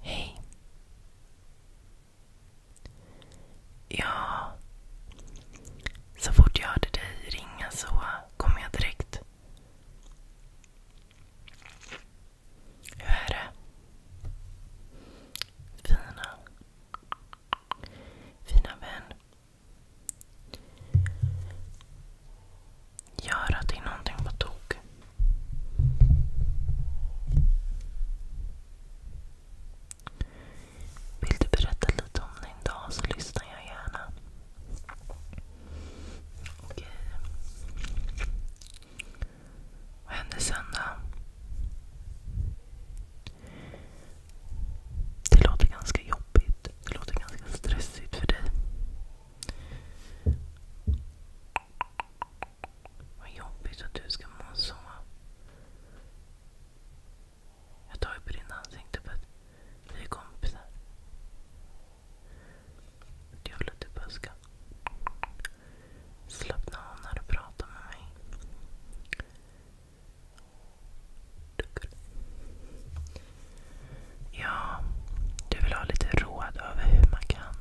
Hej. Ja, så fort jag hörde dig ringa så kom jag direkt. Hur är det? Fina. Fina vän gör att det är någonting på tok. Vill du berätta lite om din dag så lyssnar jag gärna. Okej. Eh, vad hände sen då? Det låter ganska jobbigt. Det låter ganska stressigt för dig. Vad jobbigt att du ska må så. Jag tar ju på din ansikte för att vi är kompisar. Du håller typ bara ska slappna av när du pratar med mig. Ja, du vill ha lite råd över hur man kan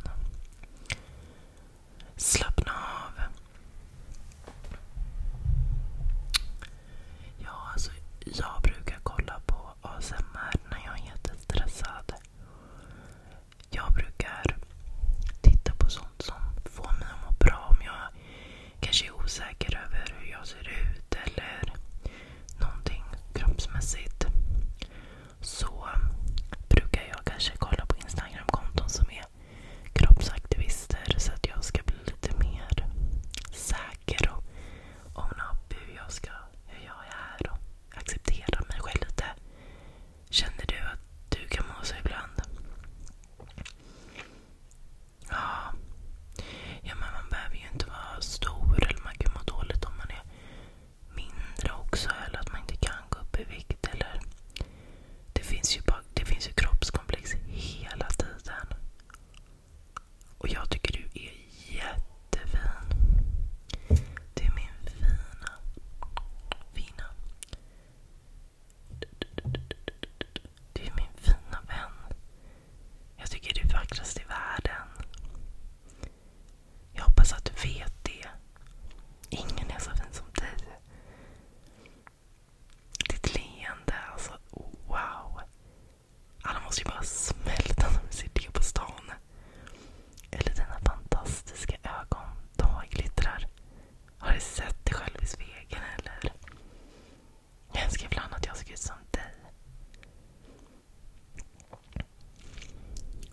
slappna av. Alltså, jag brukar kolla på ASMR när jag är jättestressad. Jag brukar titta på sånt som får mig att må bra om jag kanske är osäker över hur jag ser ut eller någonting kroppsmässigt så brukar jag kanske kolla på Instagram-konton som är kroppsaktivister så att jag ska bli lite mer säker och omna upp hur jag, ska, hur jag är och acceptera mig själv lite. Känner du att du kan må så ibland? Ja. ja, men man behöver ju inte vara stor eller man kan må dåligt om man är mindre också. Eller att man inte kan gå upp i vikt. Eller det finns ju, bara, det finns ju kroppskomplex hela tiden. Och jag tycker du är jättefin. Du är min fina, fina. Du är min fina vän. Jag tycker du är vackrast i världen. Jag hoppas att du vet det. Ingen är så fin som dig. Ditt leende, alltså wow. Alla måste ju bara smälta när de ser det på stan. Eller dina fantastiska ögon, de glittrar. Har du sett dig själv i spegeln eller? Jag önskar ibland att jag såg ut som dig.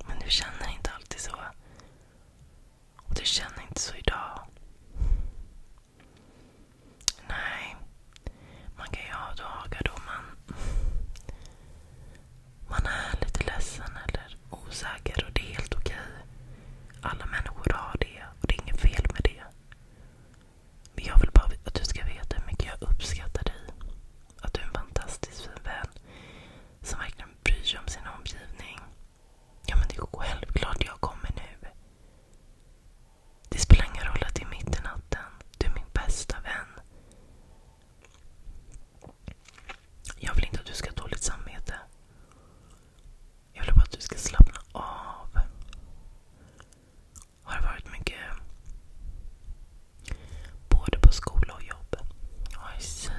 Men du känner inte alltid så. Och du känner inte så idag. Nej, man kan ju ha dagar då man, man är lite ledsen eller osäker och det är helt okej. Alla människor har det och det är inget fel med det. Men jag vill bara att du ska veta hur mycket jag uppskattar dig. Att du är en fantastiskt fin vän som verkligen bryr sig om sin omgivning. Ja men det är självklart jag kommer nu. Det spelar ingen roll att det är mitt i natten. Du är min bästa vän. Jag vill inte att du ska ha dåligt samvete. Jag vill bara att du ska slappna av. Har det varit mycket Både på skola och jobb. I see.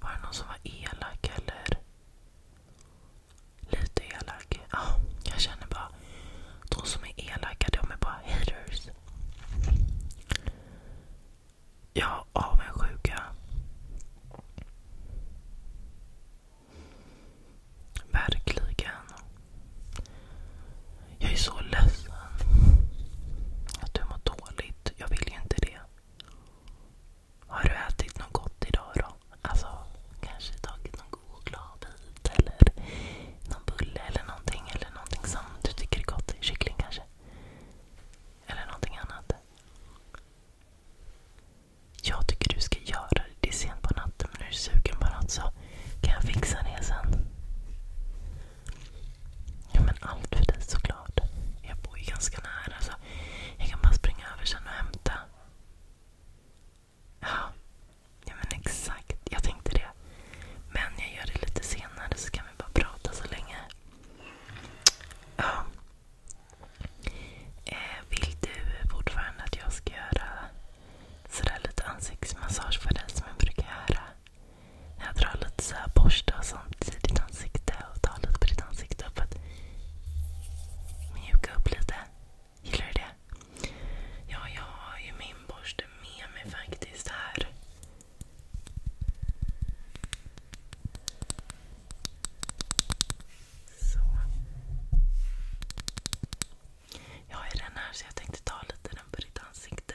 Var det någon som var elak eller? Lite elak. Ja, ah, jag känner bara. De som är elaka, de är bara haters. har avundsjuka. Verkligen. Jag är så ledsen att du mår dåligt. Jag vill ju inte det. Har du ätit något gott idag då? Alltså, kanske tagit någon god chokladbit eller någon bulle eller någonting. Eller någonting som du tycker är gott. Kyckling kanske? Eller någonting annat. Jag tycker du ska göra det. Det är sent på natten men är du sugen på något så kan jag fixa det sen. Ja men allt för dig såklart. Jag bor ju ganska nära så jag kan bara springa över sen och hämta. Ja, men exakt. Jag tänkte det. Men jag gör det lite senare så kan vi bara prata så länge. Eh, vill du fortfarande att jag ska göra lite ansiktsmassage för dig som jag brukar göra? Jag drar lite så här borsta och sånt i ditt ansikte och tar lite på ditt ansikte för att mjuka upp lite. Gillar du det? Ja, jag har ju min borste med mig faktiskt här. Så. Jag har ju den här så jag tänkte ta lite den på ditt ansikte.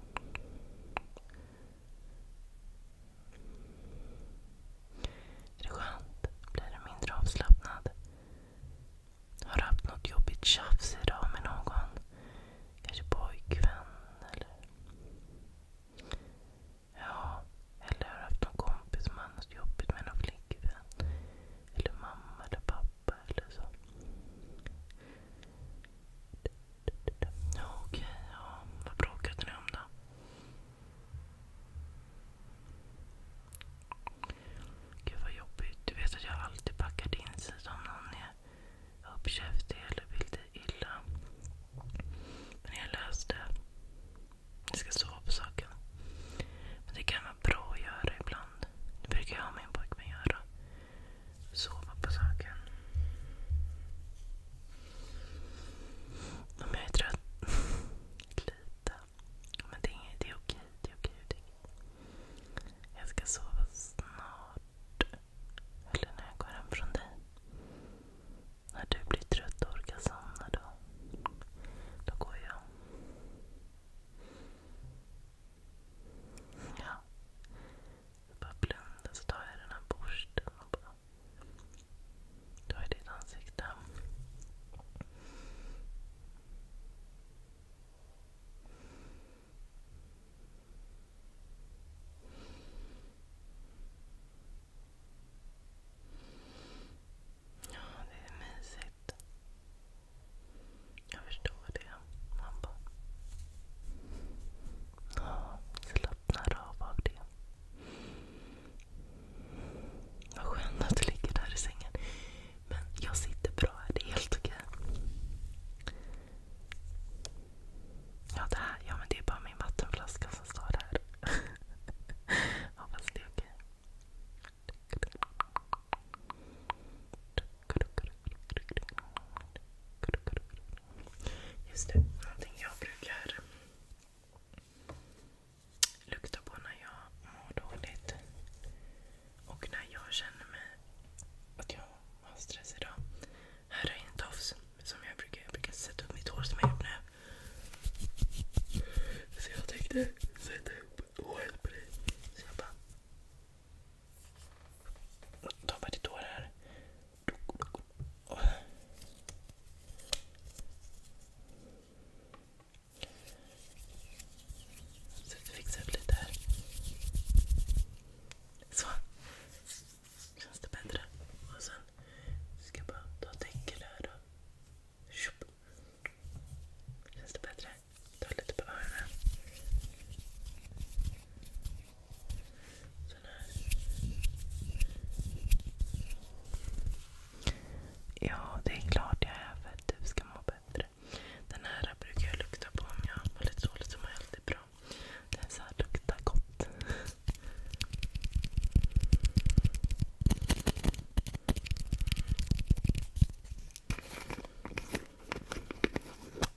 Är det skönt? Blir du mindre avslappnad? Har du haft något jobbigt tjafs idag med någon? Kanske pojkvän eller... Ja, eller har du haft någon kompis som har något jobbigt med någon flickvän? Eller mamma eller pappa eller så. Ja, okej. Ja, vad bråkade ni om då? Gud vad jobbigt. Du vet att jag alltid packar din sida om någon är uppkäftig eller vill dig illa. Men jag löste Jag ska sova på saken. Men det kan vara bra att göra ibland. Det brukar jag och min pojkvän göra sova på saken. Om jag är trött. Lite. Men det är, det är okej. Det är okej. Det är Jag ska sova snart. Eller när jag går hem från dig. När du blir trött och orkar somna då. Då går jag. Ja. Jag bara blundar så tar jag den här borsten och bara tar i ditt ansikte. Ja, det är mysigt. Jag förstår det. Man bara... Ja, slappnar av av det. Vad skönt att du ligger där i sängen. Men jag sitter bra här. Det är helt okej. Ja, det här. Ja, men det är bara min vattenflaska som står där. Hoppas det är okej. Okay. Just det, någonting jag brukar lukta på när jag mår dåligt och när jag känner mig att jag har stress idag. Här är en tofs som jag brukar, jag brukar sätta upp mitt hår som jag nu. Så jag tänkte sätta upp håret på dig. Så jag bara Tappa ditt hår här. Så vi upp lite här. Så. Känns det bättre? Och sen ska jag bara ta ett här. Då. Känns det bättre? Ta lite på öronen. Sån här. Ja, det är klart jag är för att du ska må bättre. Den här brukar jag lukta på om jag har lite dåligt så mår jag alltid bra. Den så här luktar gott.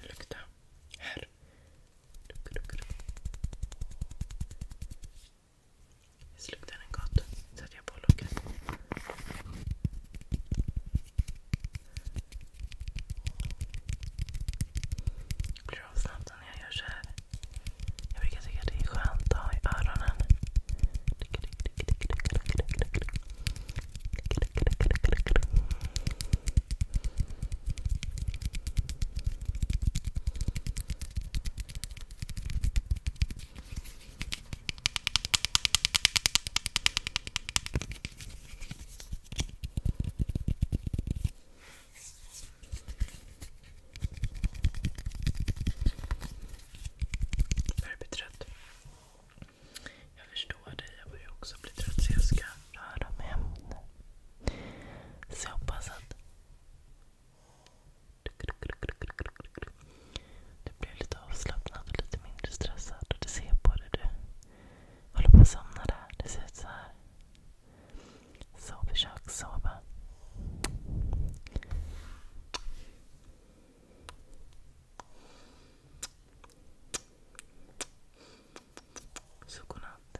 Lukta. Här. Visst luktar den gott? Sätter jag på locket. Blir av snabbt när jag gör så här. Jag brukar tycka att det är skönt att ha i öronen. Börjar bli trött. Jag förstår dig, jag börjar också bli trött så jag ska röra mig hem. Så jag hoppas att kul. Du blir lite avslappnad och lite mindre stressad. och Du ser på det. Du håller på att somna där. Det ser ut så här. Så försök sova. Så godnatt.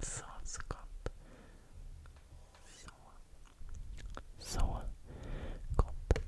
Sov så gott. Så. Så gott.